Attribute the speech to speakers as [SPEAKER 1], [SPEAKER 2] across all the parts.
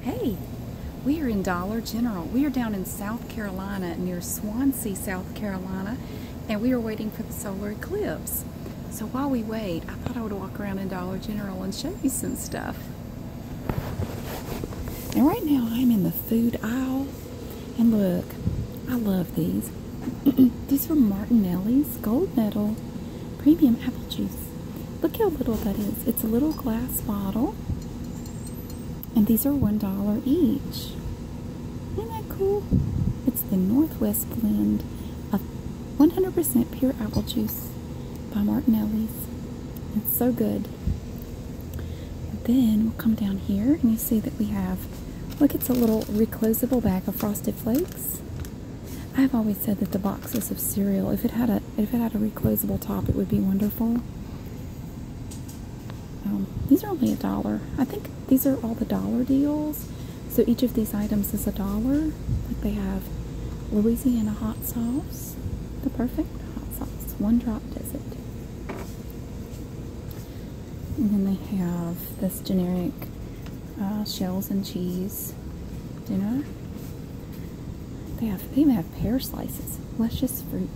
[SPEAKER 1] Hey, we are in Dollar General. We are down in South Carolina near Swansea, South Carolina, and we are waiting for the solar eclipse. So while we wait, I thought I would walk around in Dollar General and show you some stuff. And right now I'm in the food aisle. And look, I love these. these are Martinelli's gold medal premium apple juice. Look how little that is. It's a little glass bottle. And these are $1 each. Isn't that cool? It's the Northwest blend of 100% pure apple juice by Martinelli's. It's so good. then we'll come down here and you see that we have, look, it's a little reclosable bag of Frosted Flakes. I've always said that the boxes of cereal, if it had a if it had a reclosable top, it would be wonderful. Um, these are only a dollar. I think these are all the dollar deals. So each of these items is a dollar. Like they have Louisiana hot sauce, the perfect hot sauce, one drop does it. And then they have this generic uh, shells and cheese dinner. They have they even have pear slices, luscious fruit,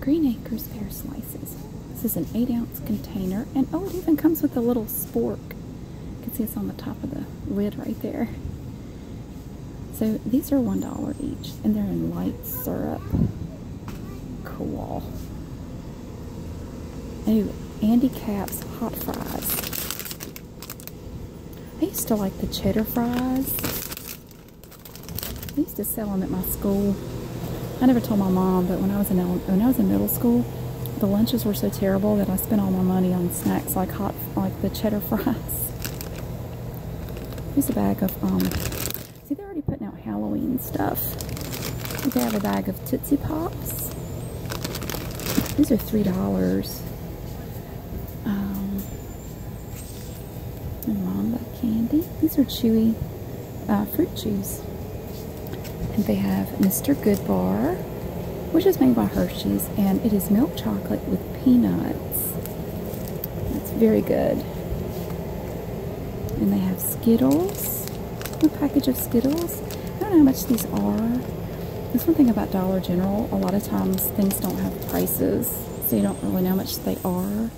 [SPEAKER 1] Green Acres pear slices. This is an eight ounce container, and oh, it even comes with a little spork. You can see it's on the top of the lid right there. So these are one dollar each, and they're in light syrup. Cool. Ooh, Andy Caps hot fries. I used to like the cheddar fries. I used to sell them at my school. I never told my mom, but when I was in middle school, the lunches were so terrible that I spent all my money on snacks like hot like the cheddar fries. Here's a bag of um, See, they're already putting out Halloween stuff. They have a bag of Tootsie Pops. These are three dollars. Um, candy. These are chewy uh, fruit chews. And they have Mr. Good Bar, which is made by Hershey's, and it is milk chocolate with peanuts. That's very good. And they have Skittles, a package of Skittles. I don't know how much these are. That's one thing about Dollar General. A lot of times things don't have prices, so you don't really know how much they are.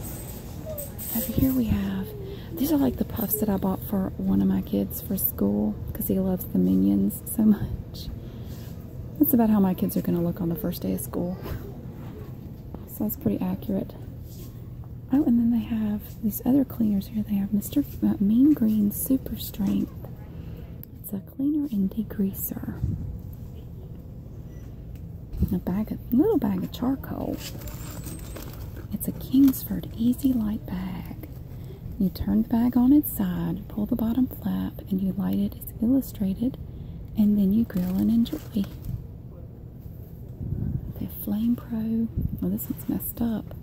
[SPEAKER 1] Over here we have, these are like the puffs that I bought for one of my kids for school because he loves the Minions so much. That's about how my kids are going to look on the first day of school. So that's pretty accurate. Oh, and then they have these other cleaners here. They have Mr. Uh, mean Green Super Strength. It's a cleaner and degreaser. A bag of little bag of charcoal. It's a Kingsford Easy Light bag. You turn the bag on its side, pull the bottom flap, and you light it It's illustrated, and then you grill and enjoy. The Flame Pro. Well, this one's messed up.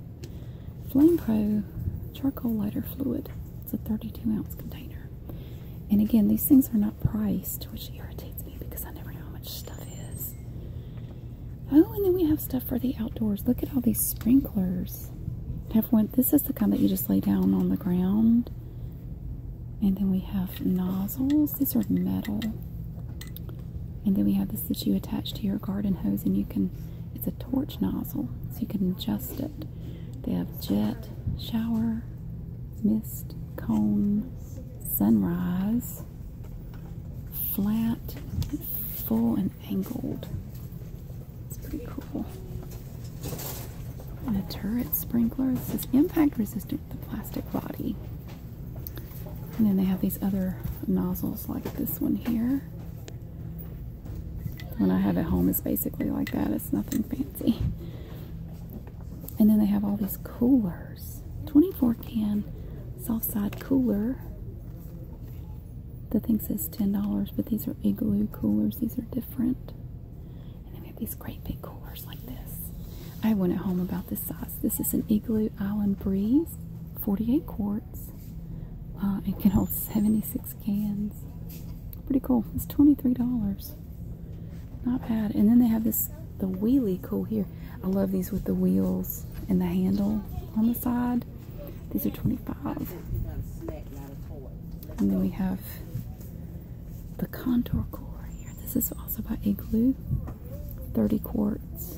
[SPEAKER 1] Flame Pro charcoal lighter fluid. It's a 32 ounce container. And again, these things are not priced, which irritates me because I never know how much stuff is. Oh, and then we have stuff for the outdoors. Look at all these sprinklers. Have This is the kind that you just lay down on the ground. And then we have nozzles. These are metal. And then we have this that you attach to your garden hose and you can it's a torch nozzle, so you can adjust it. They have jet, shower, mist, cone, sunrise, flat, full, and angled. It's pretty cool. And a turret sprinkler. This is impact resistant with a plastic body. And then they have these other nozzles like this one here. When I have at home, it's basically like that. It's nothing fancy. And then they have all these coolers. 24 can soft side cooler. The thing says $10, but these are igloo coolers. These are different. And then we have these great big coolers like this. I have one at home about this size. This is an Igloo Island Breeze, 48 quart. Uh, it can hold 76 cans. Pretty cool. It's $23. Not bad. And then they have this, the wheelie cool here. I love these with the wheels and the handle on the side. These are 25 And then we have the contour core here. This is also by Igloo. 30 quarts.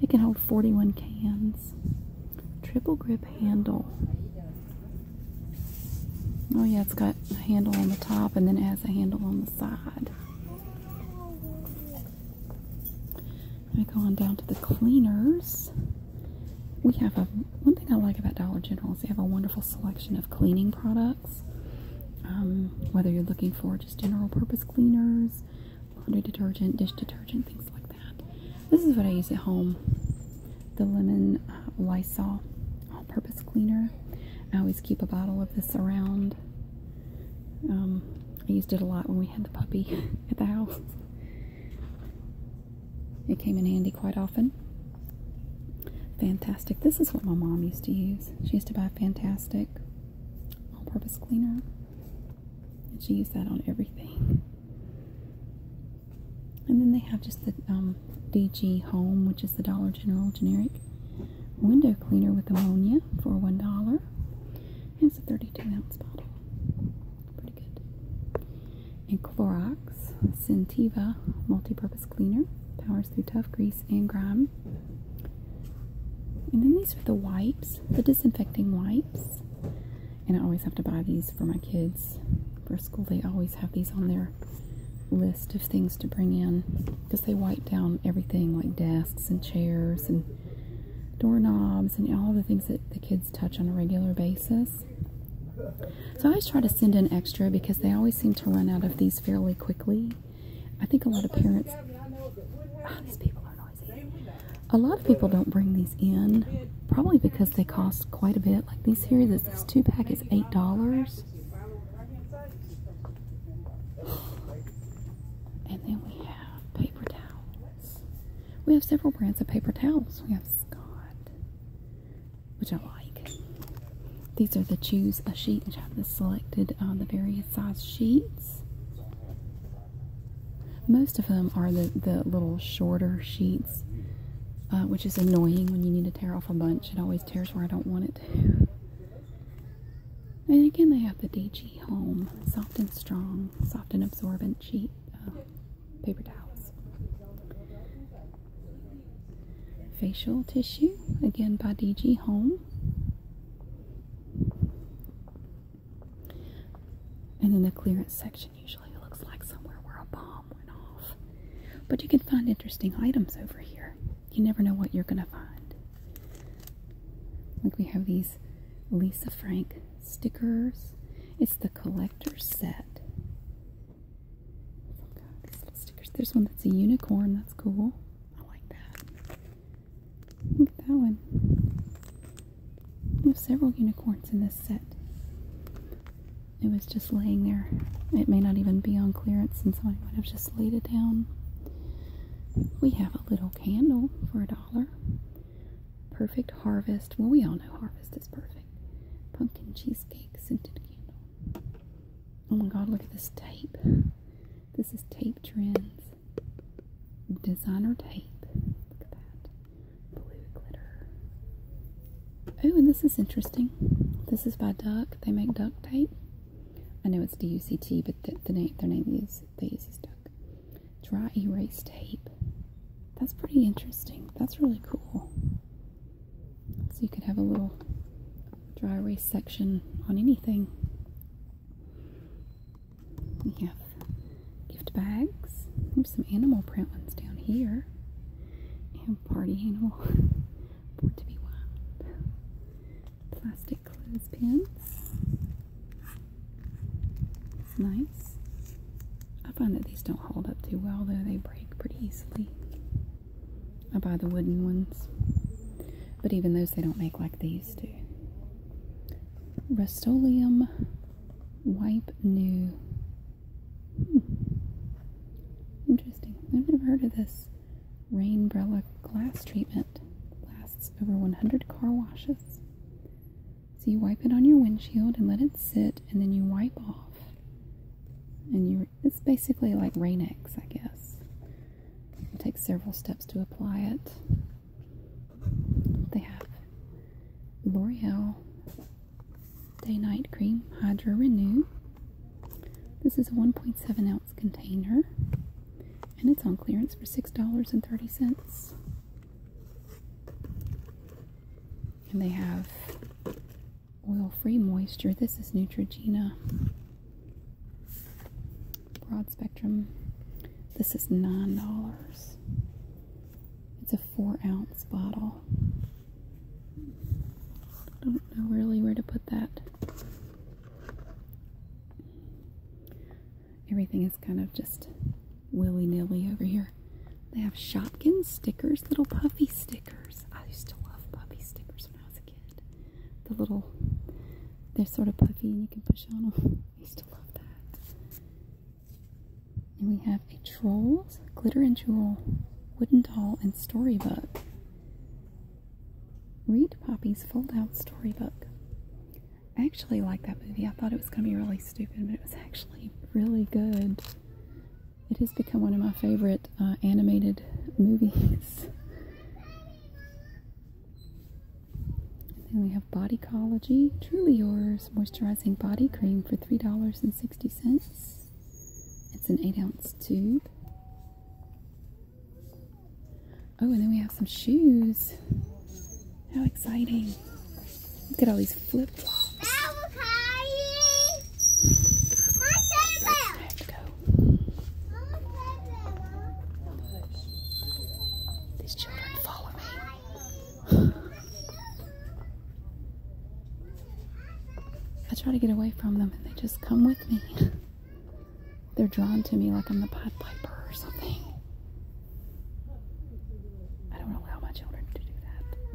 [SPEAKER 1] It can hold 41 cans. Triple grip handle. Oh yeah, it's got a handle on the top and then it has a handle on the side. I go on down to the cleaners. We have a one thing I like about Dollar General is they have a wonderful selection of cleaning products. Um, whether you're looking for just general purpose cleaners, laundry detergent, dish detergent, things like that. This is what I use at home the lemon uh, Lysol all purpose cleaner. I always keep a bottle of this around. Um, I used it a lot when we had the puppy at the house. It came in handy quite often. Fantastic. This is what my mom used to use. She used to buy Fantastic all purpose cleaner. And she used that on everything. And then they have just the um, DG Home, which is the Dollar General generic window cleaner with ammonia for $1. it's a 32 ounce bottle. Pretty good. And Clorox Sentiva multi purpose cleaner powers through tough grease and grime. And then these are the wipes, the disinfecting wipes. And I always have to buy these for my kids for school. They always have these on their list of things to bring in because they wipe down everything like desks and chairs and doorknobs and all the things that the kids touch on a regular basis. So I always try to send in extra because they always seem to run out of these fairly quickly. I think a lot of parents, ah, these people are not a lot of people don't bring these in, probably because they cost quite a bit. Like these here, this, two pack is eight dollars. And then we have paper towels. We have several brands of paper towels. We have Scott, which I like. These are the choose a sheet, which I have selected on uh, the various size sheets. Most of them are the, the little shorter sheets, uh, which is annoying when you need to tear off a bunch. It always tears where I don't want it to. And again, they have the DG Home Soft and Strong, Soft and Absorbent Sheet uh, Paper Towels. Facial Tissue, again by DG Home. And then the clearance section usually looks like somewhere where a bomb went off. But you can find interesting items over here. You never know what you're going to find. Like we have these Lisa Frank stickers. It's the collector's set. Oh stickers. There's one that's a unicorn. That's cool. I like that. Look at that one. We have several unicorns in this set. It was just laying there. It may not even be on clearance and somebody might have just laid it down. We have a little candle for a dollar. Perfect harvest. Well, we all know harvest is perfect. Pumpkin cheesecake scented candle. Oh my god, look at this tape. This is Tape Trends Designer Tape. Look at that. Blue glitter. Oh, and this is interesting. This is by Duck. They make duct tape. I know it's D-U-C-T, but the name, their name is, they use is Duck. Dry erase tape. That's pretty interesting. That's really cool. So you could have a little dry erase section on anything. We have gift bags. some animal print ones down here. And party animal. Born to be wild. Plastic clothespins. It's nice. I find that these don't hold up too well though. They break pretty easily. I buy the wooden ones. But even those they don't make like these these Wipe New. Hmm. Interesting. I've never heard of this Rainbrella glass treatment. Lasts over 100 car washes. So you wipe it on your windshield and let it sit, and then you wipe off. And you it's basically like Rain-X, I guess. It takes several steps to apply it. They have L'Oreal Day Night Cream Hydra Renew. This is a 1.7 ounce container and it's on clearance for $6.30. And they have oil free moisture. This is Neutrogena. Broad spectrum. This is nine dollars. It's a four ounce bottle. I don't know really where to put that. Everything is kind of just willy nilly over here. They have Shopkins stickers, little puffy stickers. I used to love puffy stickers when I was a kid. The little, they're sort of puffy and you can push on them. I used to love that. And we have a Trolls Glitter and Jewel Wooden Doll and Storybook. Read Poppy's Fold Out Storybook. I actually like that movie. I thought it was going to be really stupid, but it was actually really good. It has become one of my favorite uh, animated movies then we have Bodycology Truly Yours Moisturizing Body Cream for $3.60. It's an 8 ounce tube. Oh, and then we have some shoes. How exciting! Look at all these flip flops. These children follow me. I try to get away from them and they just come with me. They're drawn to me like I'm the Pied Piper or something. I don't allow my children to do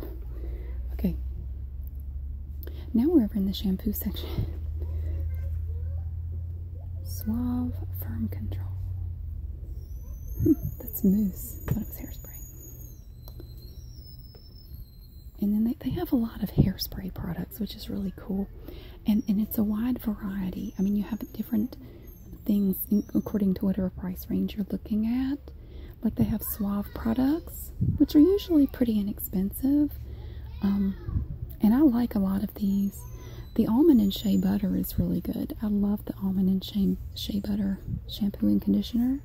[SPEAKER 1] that. Okay. Now we're over in the shampoo section. Suave Firm Control. Hmm, that's mousse. I thought it was hairspray. And then they, have a lot of hairspray products, which is really cool. And, and it's a wide variety. I mean, you have different things according to whatever price range you're looking at. Like they have Suave products which are usually pretty inexpensive. Um, and I like a lot of these. The almond and shea butter is really good. I love the almond and shea, shea butter shampoo and conditioner.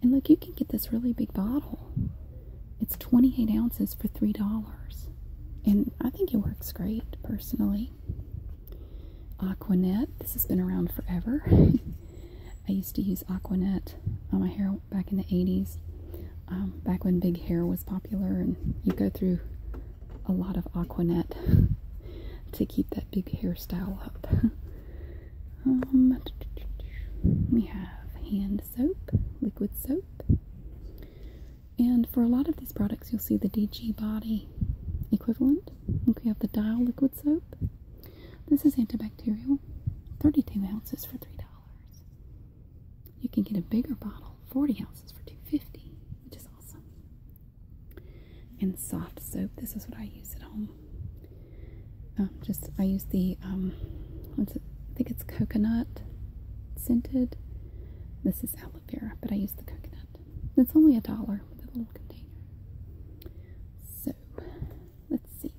[SPEAKER 1] And look, you can get this really big bottle. It's 28 ounces for $3. And I think it works great, personally. Aquanet. This has been around forever. I used to use Aquanet on my hair back in the 80s, um, back when big hair was popular, and you go through a lot of Aquanet to keep that big hairstyle up. Um, we have hand soap, liquid soap. And for a lot of these products, you'll see the DG Body equivalent. Look, we have the Dial Liquid Soap. This is antibacterial, 32 ounces for $3. You can get a bigger bottle, 40 ounces for 250, which is awesome. And soft soap. This is what I use at home. Um, just I use the um, what's it? I think it's coconut scented. This is aloe vera, but I use the coconut. It's only a dollar with a little container. So let's see.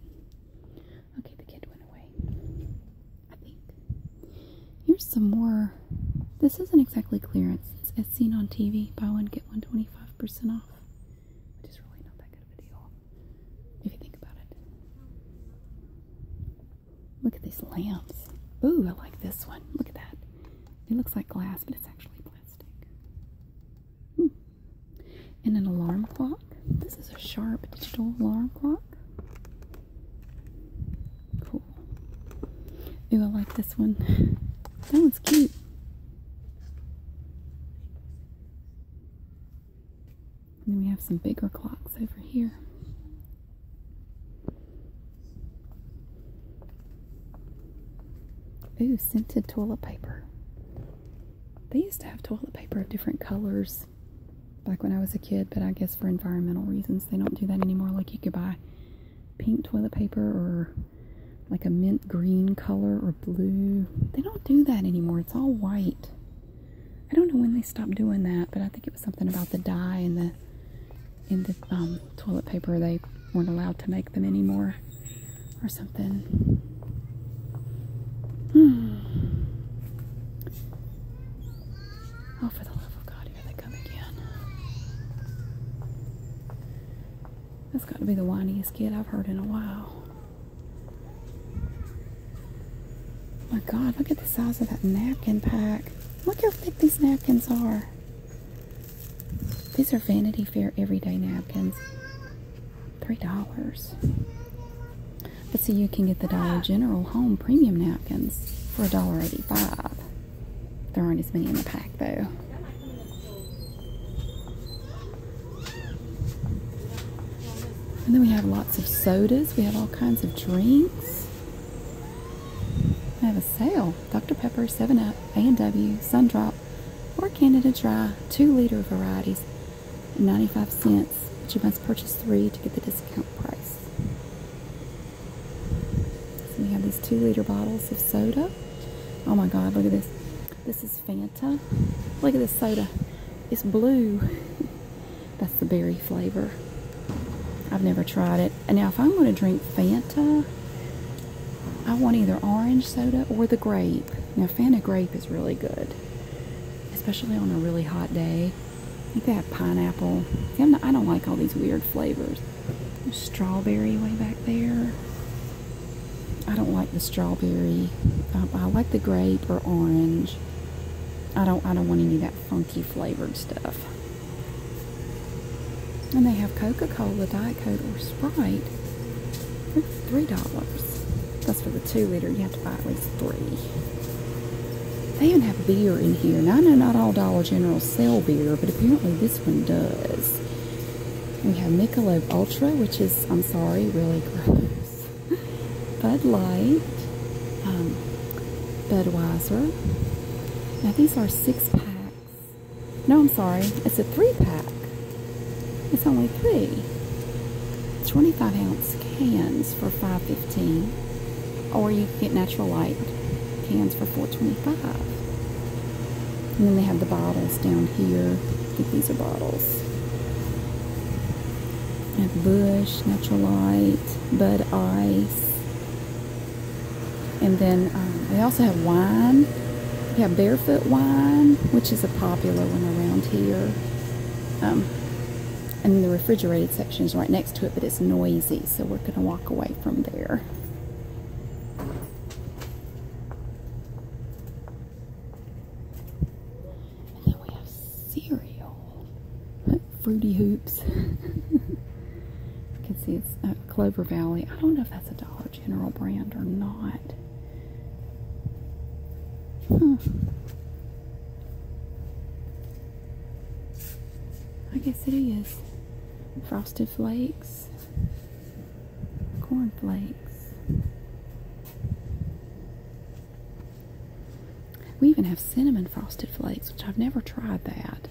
[SPEAKER 1] Okay, the kid went away. I think. Here's some more. This isn't exactly clearance. It's as seen on TV. Buy one, get one 25% off. Which is really not that good of a deal. If you think about it. Look at these lamps. Ooh, I like this one. Look at that. It looks like glass, but it's actually plastic. Hmm and an alarm clock. This is a sharp digital alarm clock. Cool. Ooh, I like this one. That one's cute. then we have some bigger clocks over here. Ooh, scented toilet paper. They used to have toilet paper of different colors back when I was a kid, but I guess for environmental reasons they don't do that anymore. Like you could buy pink toilet paper or like a mint green color or blue. They don't do that anymore. It's all white. I don't know when they stopped doing that, but I think it was something about the dye in the in the um, toilet paper. They weren't allowed to make them anymore or something. Oh, for the love of God, here they come again. That's got to be the whiniest kid I've heard in a while. my God, look at the size of that napkin pack. Look how thick these napkins are. These are Vanity Fair everyday napkins three dollars. But see, you can get the Dollar General Home Premium Napkins for a dollar eighty-five. There aren't as many in the pack, though. And then we have lots of sodas. We have all kinds of drinks. I have a sale. Dr. Pepper, 7-Up, A&W, Sundrop, or Canada Dry, 2-liter varieties, and 95 cents, but you must purchase three to get the discount price. So we have these two liter bottles of soda. Oh my God, look at this. This is Fanta. Look at this soda. It's blue. That's the berry flavor. I've never tried it. And now if I'm going to drink Fanta, I want either orange soda or the grape. Now, Fanta grape is really good, especially on a really hot day. I think they have pineapple. I don't like all these weird flavors. strawberry way back there. I don't like the strawberry. Um, I like the grape or orange. I don't. I don't want any of that funky flavored stuff. And they have Coca-Cola Diet Diet Coke or Sprite for $3. That's for the 2 liter. You have to buy at least three. They even have beer in here. Now, I know not all Dollar General sell beer, but apparently this one does. We have Michelob Ultra, which is, I'm sorry, really gross. Bud Light, um, Budweiser. Now, these are six packs. No, I'm sorry, it's a three pack. It's only three. 25 ounce cans for 5.15, or you get natural light cans for 4.25. And then they have the bottles down here. these are bottles. I have Bush, Natural Light, Bud Ice. And then um, they also have wine we have Barefoot Wine, which is a popular one around here. Um, and then the refrigerated section is right next to it, but it's noisy, so we're going to walk away from there. And then we have cereal, Fruity Hoops. you can see it's uh, Clover Valley. I don't know if that's a dollar General brand or not. I guess it is. Frosted Flakes, Corn Flakes. We even have cinnamon frosted flakes, which I've never tried that.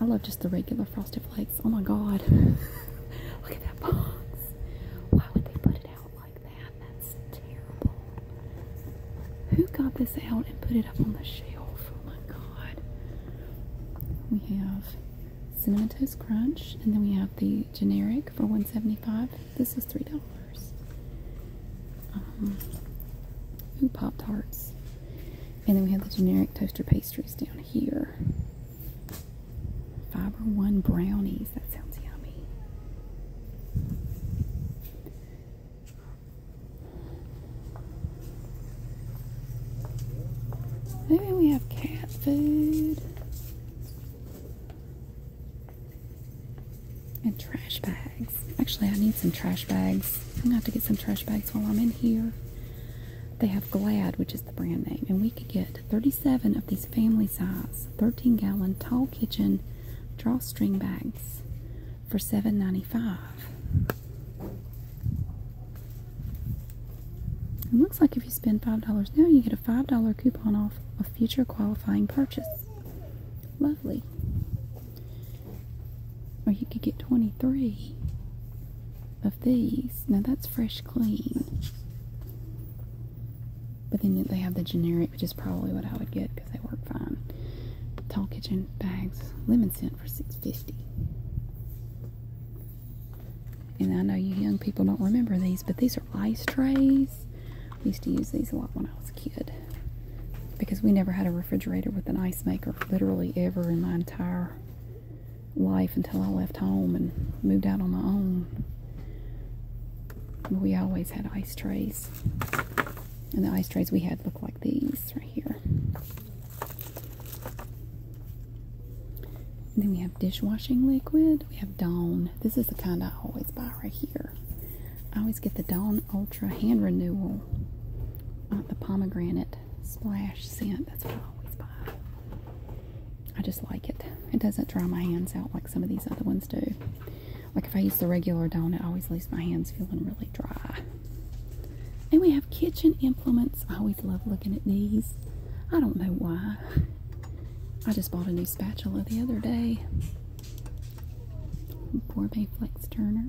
[SPEAKER 1] I love just the regular frosted flakes. Oh my god. Look at that box. Why would they put it out like that? That's terrible. Who got this out and put it up on the shelf? Oh my god. We have Cinnamon Toast Crunch, and then we have the generic for $1.75. This is $3. Um, Pop Tarts. And then we have the generic toaster pastries down here down here. Fiber One brownies. That sounds yummy. Maybe we have cat food and trash bags. Actually, I need some trash bags. I'm gonna have to get some trash bags while I'm in here. They have Glad, which is the brand name, and we could get 37 of these family size 13 gallon tall kitchen drawstring bags for 7.95. It looks like if you spend $5 now, you get a $5 coupon off a future qualifying purchase. Lovely. Or you could get 23 of these. Now that's fresh clean. But then they have the generic, which is probably what I would get because they work fine. Tall kitchen bags, lemon scent for six fifty. And I know you young people don't remember these, but these are ice trays. We used to use these a lot when I was a kid because we never had a refrigerator with an ice maker, literally ever in my entire life until I left home and moved out on my own. We always had ice trays. And the ice trays we had looked like these right here. then we have dishwashing liquid. We have Dawn. This is the kind I always buy right here. I always get the Dawn Ultra Hand Renewal. Uh, the pomegranate splash scent. That's what I always buy. I just like it. It doesn't dry my hands out like some of these other ones do. Like if I use the regular donut, always leaves my hands feeling really dry. And we have kitchen implements. I always love looking at these. I don't know why. I just bought a new spatula the other day. Gourmet Flex Turner.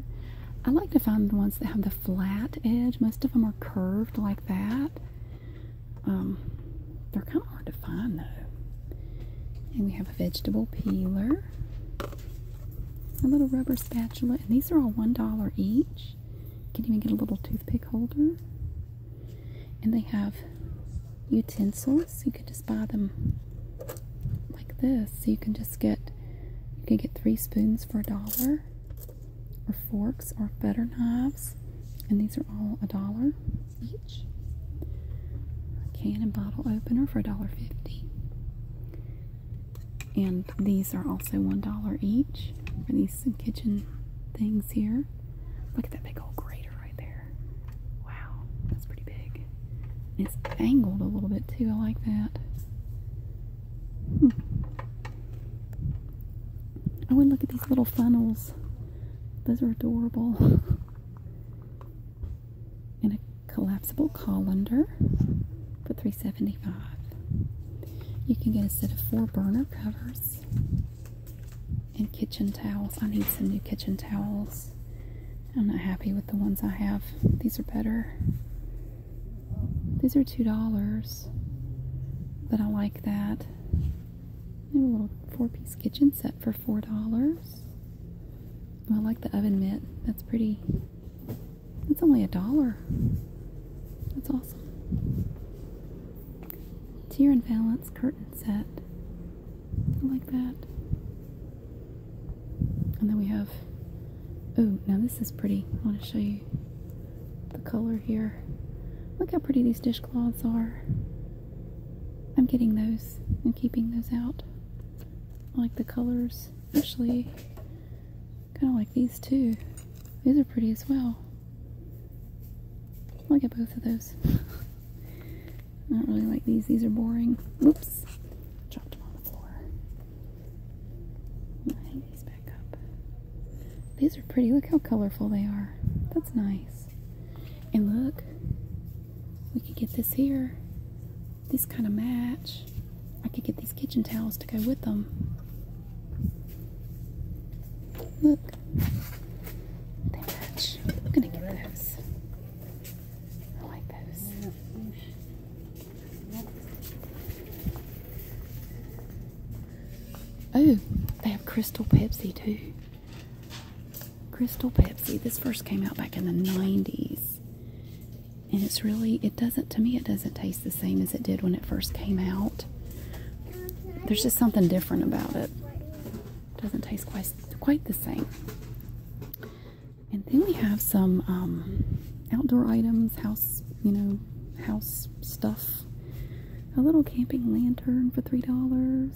[SPEAKER 1] I like to find the ones that have the flat edge. Most of them are curved like that. Um, they're kind of hard to find though. And we have a vegetable peeler, a little rubber spatula, and these are all $1 each. You can even get a little toothpick holder. And they have utensils. You could just buy them like this. So you can just get you can get three spoons for a dollar or forks or better knives, and these are all a dollar each. can and bottle opener for dollar fifty, And these are also $1 each for these kitchen things here. Look at that big old grater right there. Wow, that's pretty big. it's angled a little bit too. I like that. Hmm. Oh, and look at these little funnels. Those are adorable. and a collapsible colander for $3.75. You can get a set of four burner covers and kitchen towels. I need some new kitchen towels. I'm not happy with the ones I have. These are better. These are two dollars. But I like that. And a little four-piece kitchen set for four dollars. I like the oven mitt. That's pretty. That's only a dollar. That's awesome. Tier and Valance curtain set. I like that. And then we have Oh, now this is pretty. I want to show you the color here. Look how pretty these dishcloths are. I'm getting those and keeping those out. I like the colors, especially kind of like these too. These are pretty as well. I'll get both of those. I don't really like these. These are boring. Whoops. Dropped on the floor. Hang these back up. These are pretty. Look how colorful they are. That's nice. And look, we could get this here. These kind of match. I could get these kitchen towels to go with them. Look, they match. I'm gonna get those. I like those. Oh, they have Crystal Pepsi too. Crystal Pepsi. This first came out back in the 90s. And it's really, it doesn't, to me, it doesn't taste the same as it did when it first came out. There's just something different about it. doesn't taste quite, quite the same. And then we have some um, outdoor items, house you know, house stuff. A little camping lantern for $3.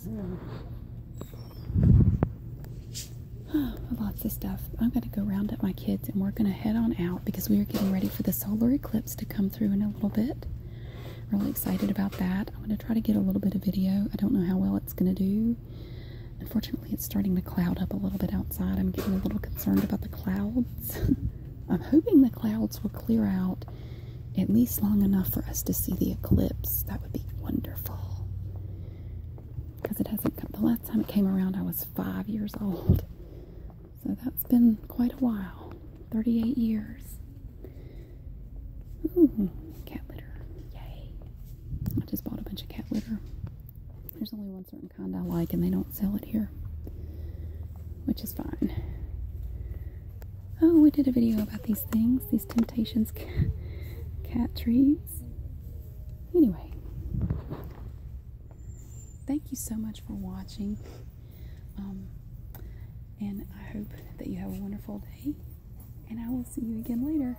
[SPEAKER 1] lots of stuff. I'm going to go round up my kids and we're going to head on out because we are getting ready for the solar eclipse to come through in a little bit. Really excited about that. I'm going to try to get a little bit of video. I don't know how well it's going to do. Unfortunately, it's starting to cloud up a little bit outside. I'm getting a little concerned about the clouds. I'm hoping the clouds will clear out at least long enough for us to see the eclipse. That would be wonderful. Because it hasn't come. The last time it came around, I was five years old. So that's been quite a while 38 years. Ooh, cat litter. Yay. I just bought a bunch of cat litter. There's only one certain kind I like and they don't sell it here, which is fine. Oh, we did a video about these things, these Temptations cat trees. Anyway, thank you so much for watching. Um, and I hope that you have a wonderful day. And I will see you again later.